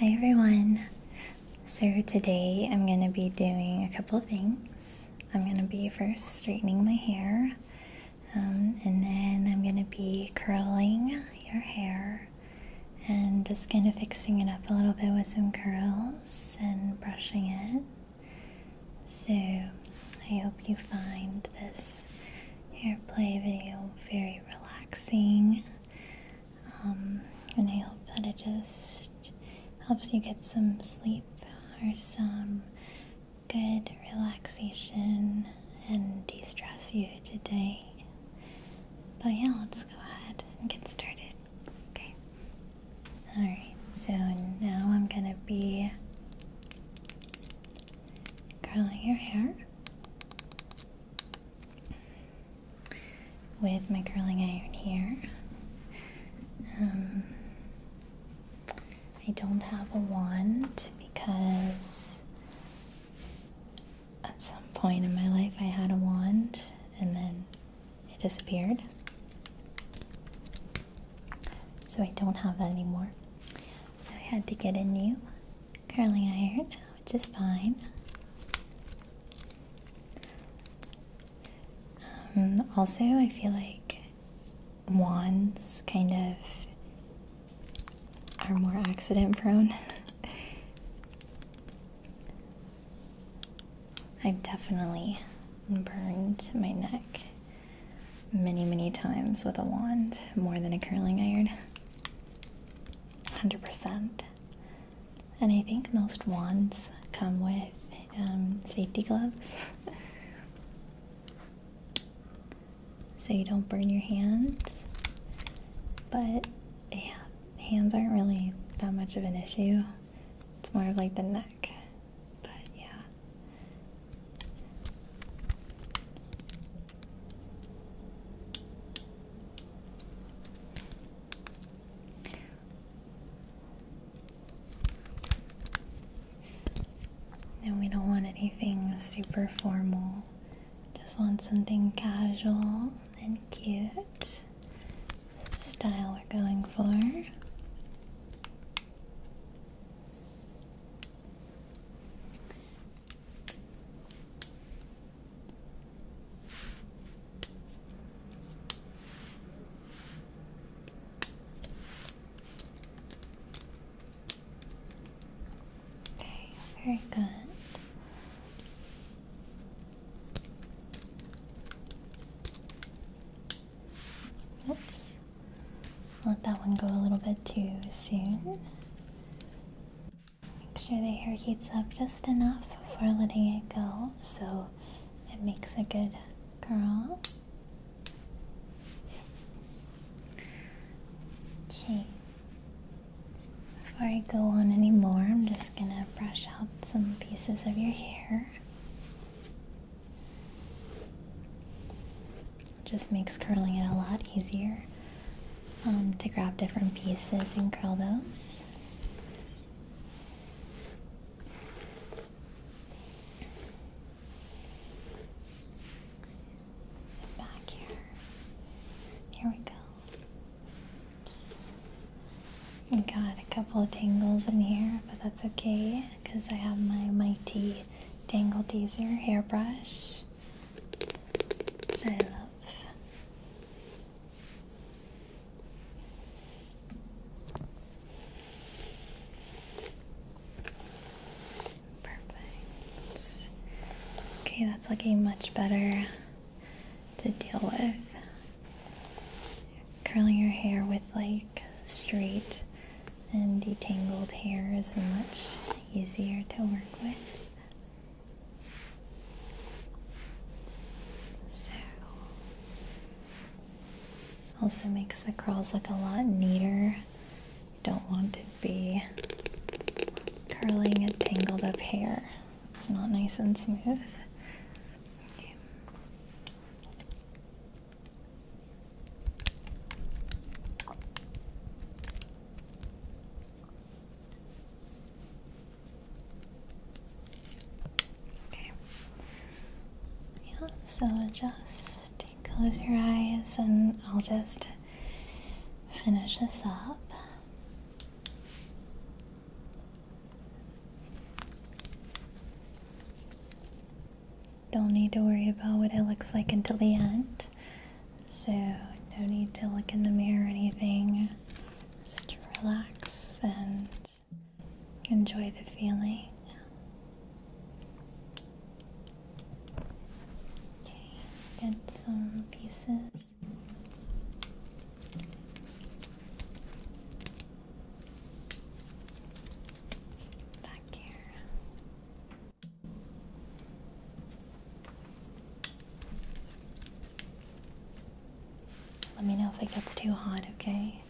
Hi everyone. So today I'm going to be doing a couple of things. I'm going to be first straightening my hair um, and then I'm going to be curling your hair and just kind of fixing it up a little bit with some curls and brushing it. So I hope you find this hair play video very relaxing um, and I hope that it just helps you get some sleep or some good relaxation and de stress you today. But yeah, let's go ahead and get started. Okay. Alright, so now I'm gonna be curling your hair with my curling iron here. Um, I don't have a wand because at some point in my life I had a wand and then it disappeared. So I don't have that anymore. So I had to get a new curling iron, which is fine. Um, also, I feel like wands kind of are more accident prone. I've definitely burned my neck many, many times with a wand, more than a curling iron. 100%. And I think most wands come with um, safety gloves. so you don't burn your hands. But yeah, hands aren't really that much of an issue. It's more of like the neck. But yeah. And we don't want anything super formal. Just want something casual and cute. style we're going for. Okay, very good. Oops. Let that one go a little bit too soon. Make sure the hair heats up just enough for letting it go so it makes a good curl. Okay. Before I go on anymore, I'm just gonna brush out some pieces of your hair. Just makes curling it a lot easier. Um, to grab different pieces and curl those. Back here. Here we go. Oops. got a couple of tangles in here, but that's okay because I have my mighty Dangle Teaser hairbrush. I love. Perfect. Okay, that's looking much better to deal with. Curling your hair with like straight and detangled hair is much easier to work with. So also makes the curls look a lot neater. You don't want to be curling a tangled up hair. It's not nice and smooth. Okay. Yeah, so just close your eyes and I'll just finish this up. Don't need to worry about what it looks like until the end. So, no need to look in the mirror or anything. Just relax and enjoy the feeling. Okay, get some pieces. Back here. Let me know if it gets too hot, okay?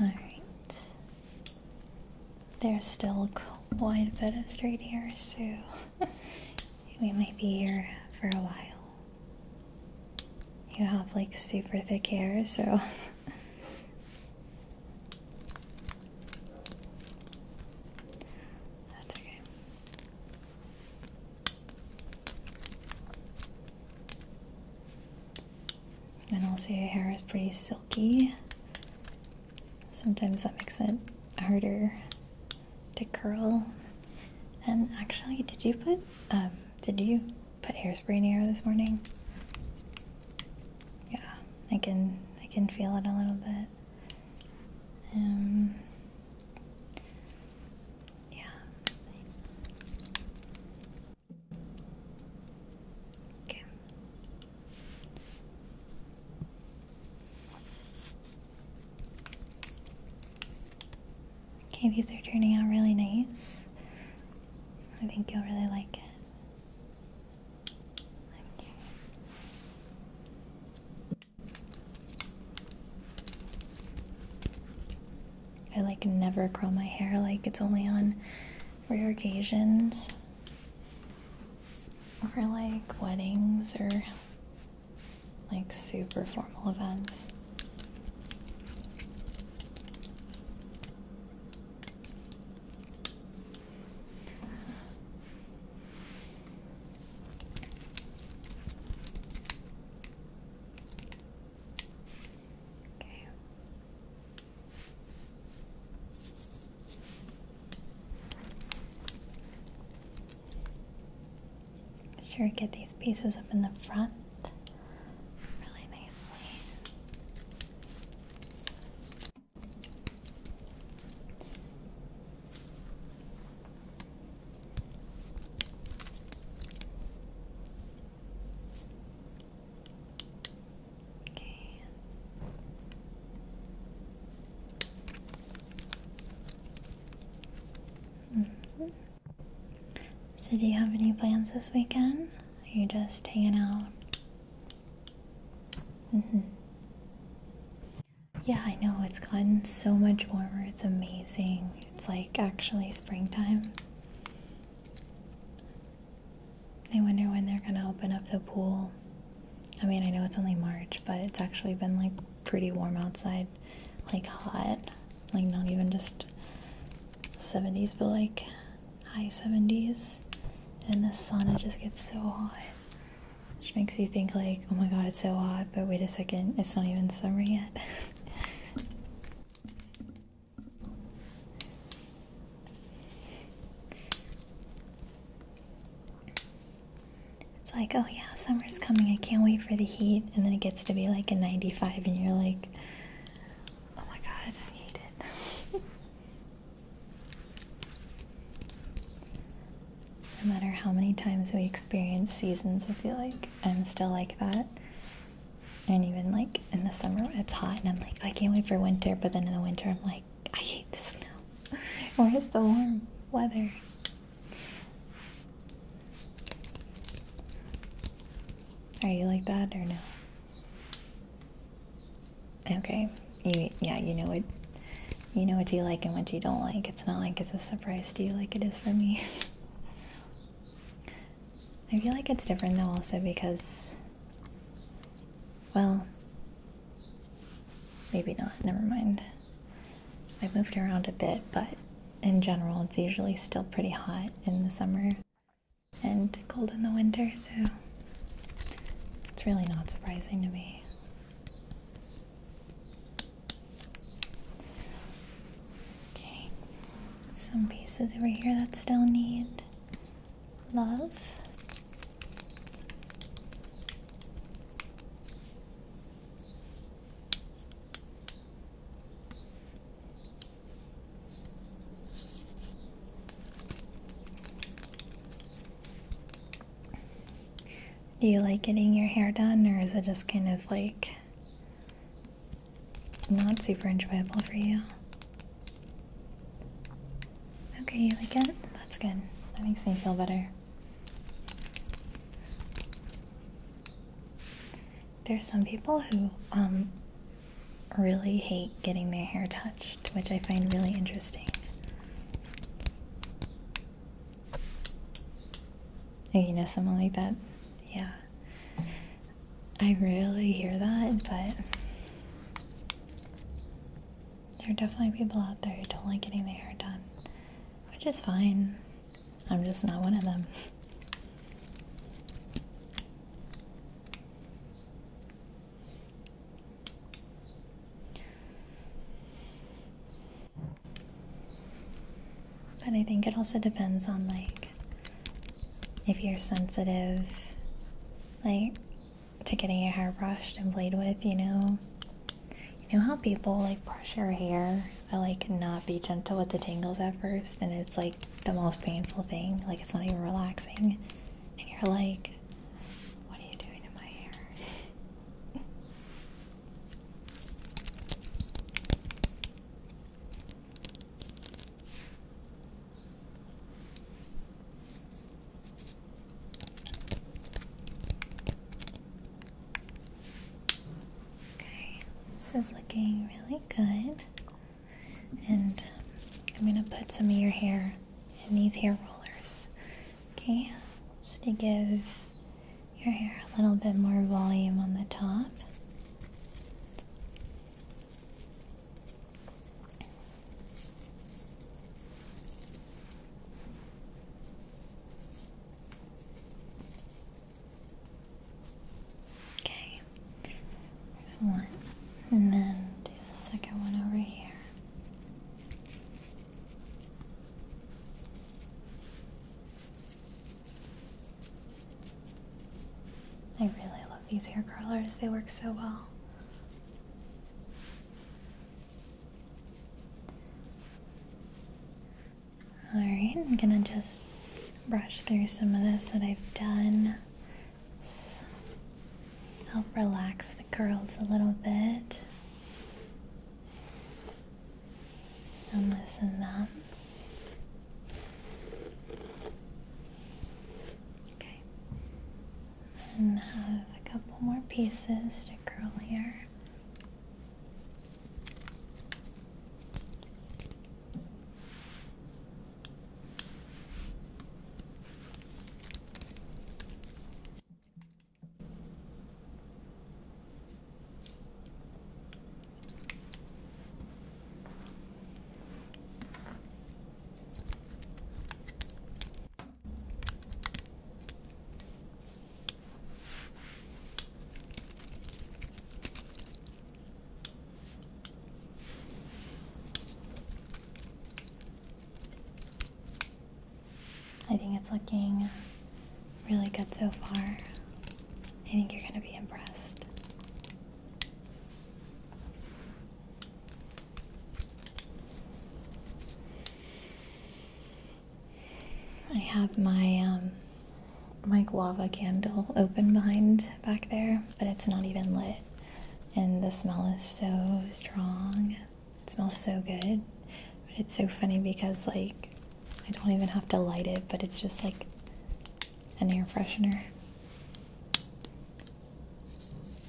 All right. There's still quite a bit of straight hair, so we might be here for a while. You have like super thick hair, so. That's okay. And also, your hair is pretty silky. Sometimes that makes it harder to curl. And actually, did you put um did you put hairspray in your hair this morning? Yeah, I can I can feel it a little bit. Um, yeah. Okay. Okay, these are turning out really nice. I think you'll really like it. I like never curl my hair, like, it's only on rare occasions. For like weddings or like super formal events. Okay. Sure, get these pieces up in the front really nicely. Okay. -hmm. So, do you have any plans this weekend? Are you just hanging out? Mm -hmm. Yeah, I know. It's gotten so much warmer. It's amazing. It's like actually springtime. I wonder when they're gonna open up the pool. I mean, I know it's only March, but it's actually been like pretty warm outside, like hot, like not even just 70s, but like high 70s. And the sun, it just gets so hot. Which makes you think, like, oh my god, it's so hot, but wait a second, it's not even summer yet. It's like, oh yeah, summer's coming. I can't wait for the heat. And then it gets to be like a 95, and you're like, oh my god, I hate it. no matter how many times we experience seasons, I feel like I'm still like that. And even like in the summer, it's hot, and I'm like, I can't wait for winter. But then in the winter, I'm like, I hate the snow. Where's the warm weather? Are you like that or no? Okay. You yeah, you know what you know what you like and what you don't like. It's not like it's a surprise to you like it is for me. I feel like it's different though also because well, maybe not, never mind. I moved around a bit, but in general, it's usually still pretty hot in the summer and cold in the winter, so it's really not surprising to me. Okay, some pieces over here that still need love do you like getting your hair done, or is it just kind of like not super enjoyable for you? Okay, you like it? That's good. That makes me feel better. There's some people who um really hate getting their hair touched, which I find really interesting. Oh, you know someone like that? Yeah. I really hear that, but there are definitely people out there who don't like getting their hair done, which is fine. I'm just not one of them. But I think it also depends on like if you're sensitive. Like to getting your hair brushed and played with, you know. You know how people like brush your hair but like not be gentle with the tangles at first and it's like the most painful thing, like it's not even relaxing. And you're like, what are you doing to my hair? Okay, this is looking really good. And I'm going to put some of your hair in these hair rollers. Okay, just to give your hair a little bit more volume on the top. Okay, there's one, and then do the second one over here. I really love these hair curlers, they work so well. Alright, I'm gonna just brush through some of this that I've done. help relax the curls a little bit and loosen them. Okay and have a couple more pieces to curl here. I think it's looking really good so far. I think you're going to be impressed. I have my um, my guava candle open behind back there, but it's not even lit, and the smell is so strong. It smells so good, but it's so funny because like I don't even have to light it, but it's just like an air freshener.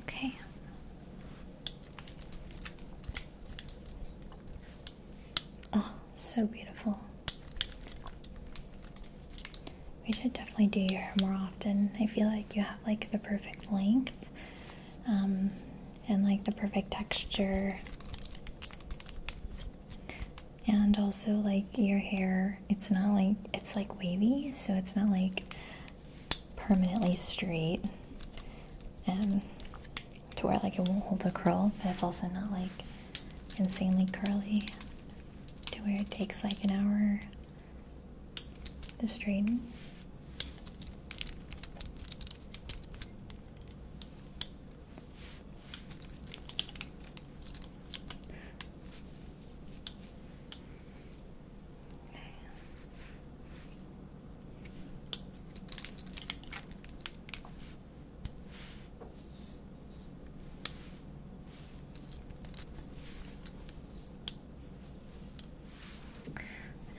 Okay. Oh, so beautiful. We should definitely do your hair more often. I feel like you have like the perfect length um, and like the perfect texture. And also, like your hair, it's not like it's like wavy, so it's not like permanently straight and to where like it won't hold a curl but it's also not like insanely curly to where it takes like an hour to straighten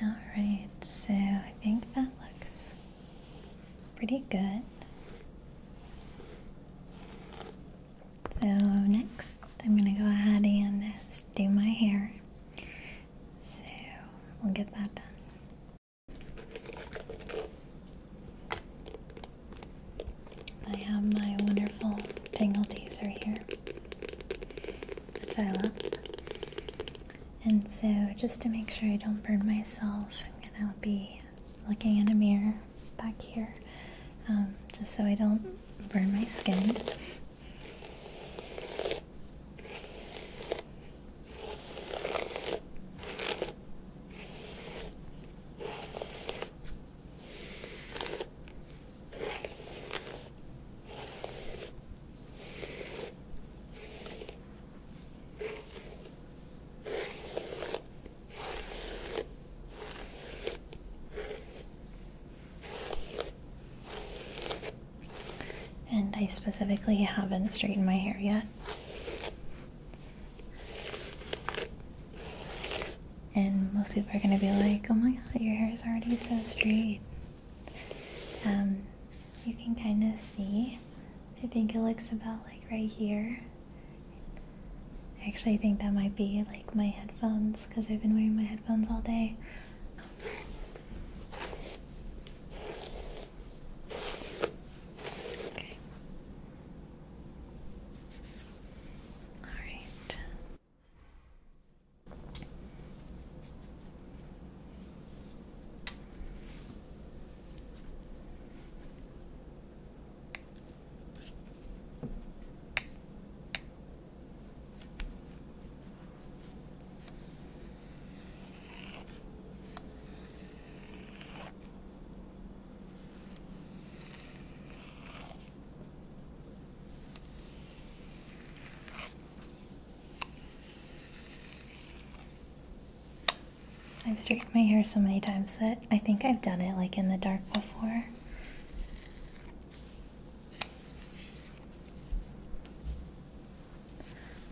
all right, so I think that looks pretty good. So next I'm gonna go ahead and do my hair. So we'll get that done. I have my wonderful tangle teaser here, which I love. And so, just to make sure I don't burn myself, I'm gonna be looking in a mirror back here, um, just so I don't burn my skin. And I specifically haven't straightened my hair yet. And most people are going to be like, oh my god, your hair is already so straight. Um, you can kind of see. I think it looks about like right here. Actually, I think that might be like my headphones because I've been wearing my headphones all day. All right. I've straightened my hair so many times that I think I've done it like in the dark before.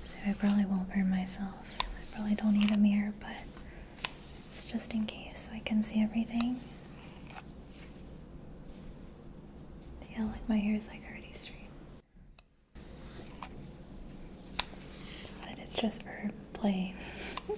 So I probably won't burn myself. I probably don't need a mirror, but it's just in case so I can see everything. Yeah, like my hair is like already straight. But it's just for play.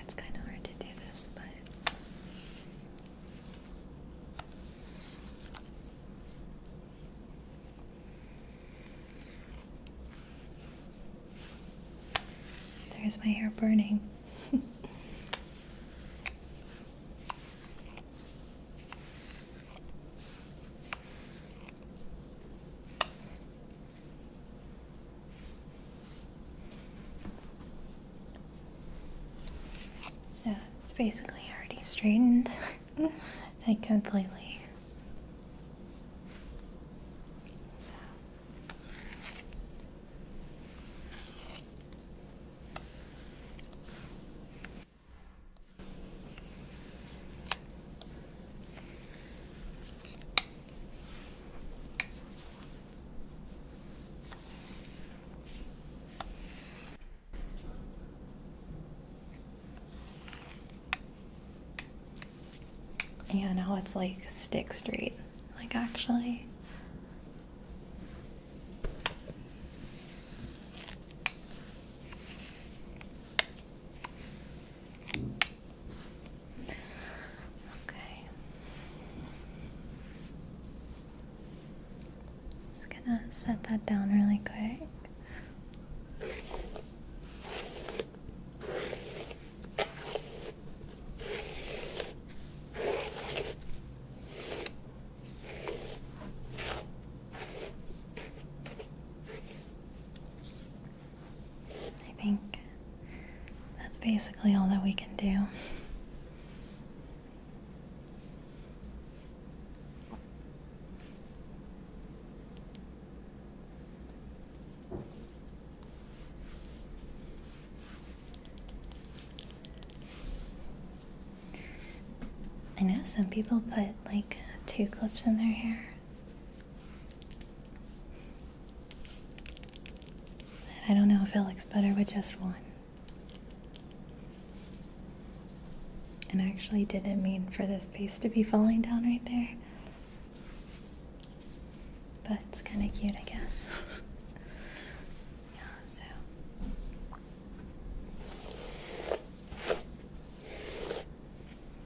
It's kind of hard to do this, but. There's my hair burning. So it's basically already straightened, like completely. So. Yeah, now it's like Stick straight. Like, actually. Okay. Just gonna set that down really quick. I think that's basically all that we can do. I know some people put like two clips in their hair. I don't know if it looks better with just one. And I actually didn't mean for this piece to be falling down right there. But it's kind of cute, I guess. yeah, so.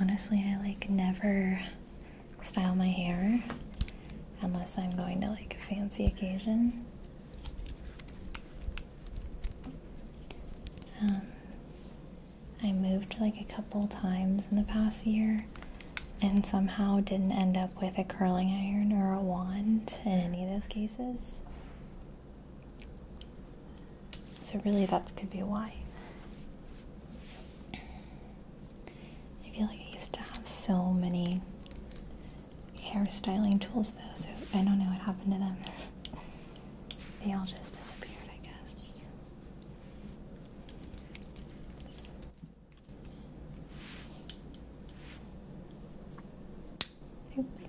Honestly, I like never style my hair unless I'm going to like a fancy occasion. Um, I moved like a couple times in the past year and somehow didn't end up with a curling iron or a wand in any of those cases. So, really, that could be why. I feel like I used to have so many hairstyling tools, though, so I don't know what happened to them. they all just disappeared, I guess. Oops.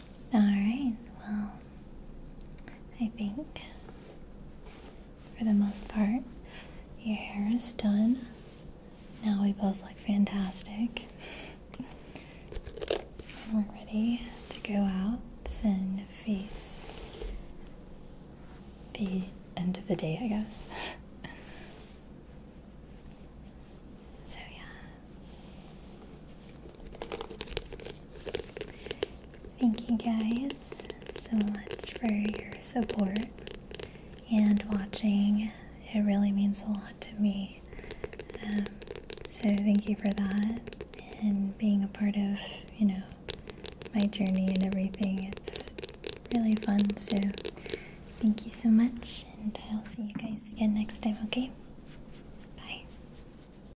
Alright, well, I think for the most part, your hair is done. Now we both look fantastic. And we're ready to go out and face the end of the day, I guess. so, yeah. Thank you guys so much for your support and watching. It really means a lot to me. Um, so thank you for that and being a part of, you know, my journey and everything. It's really fun. So thank you so much and I'll see you guys again next time, okay? Bye.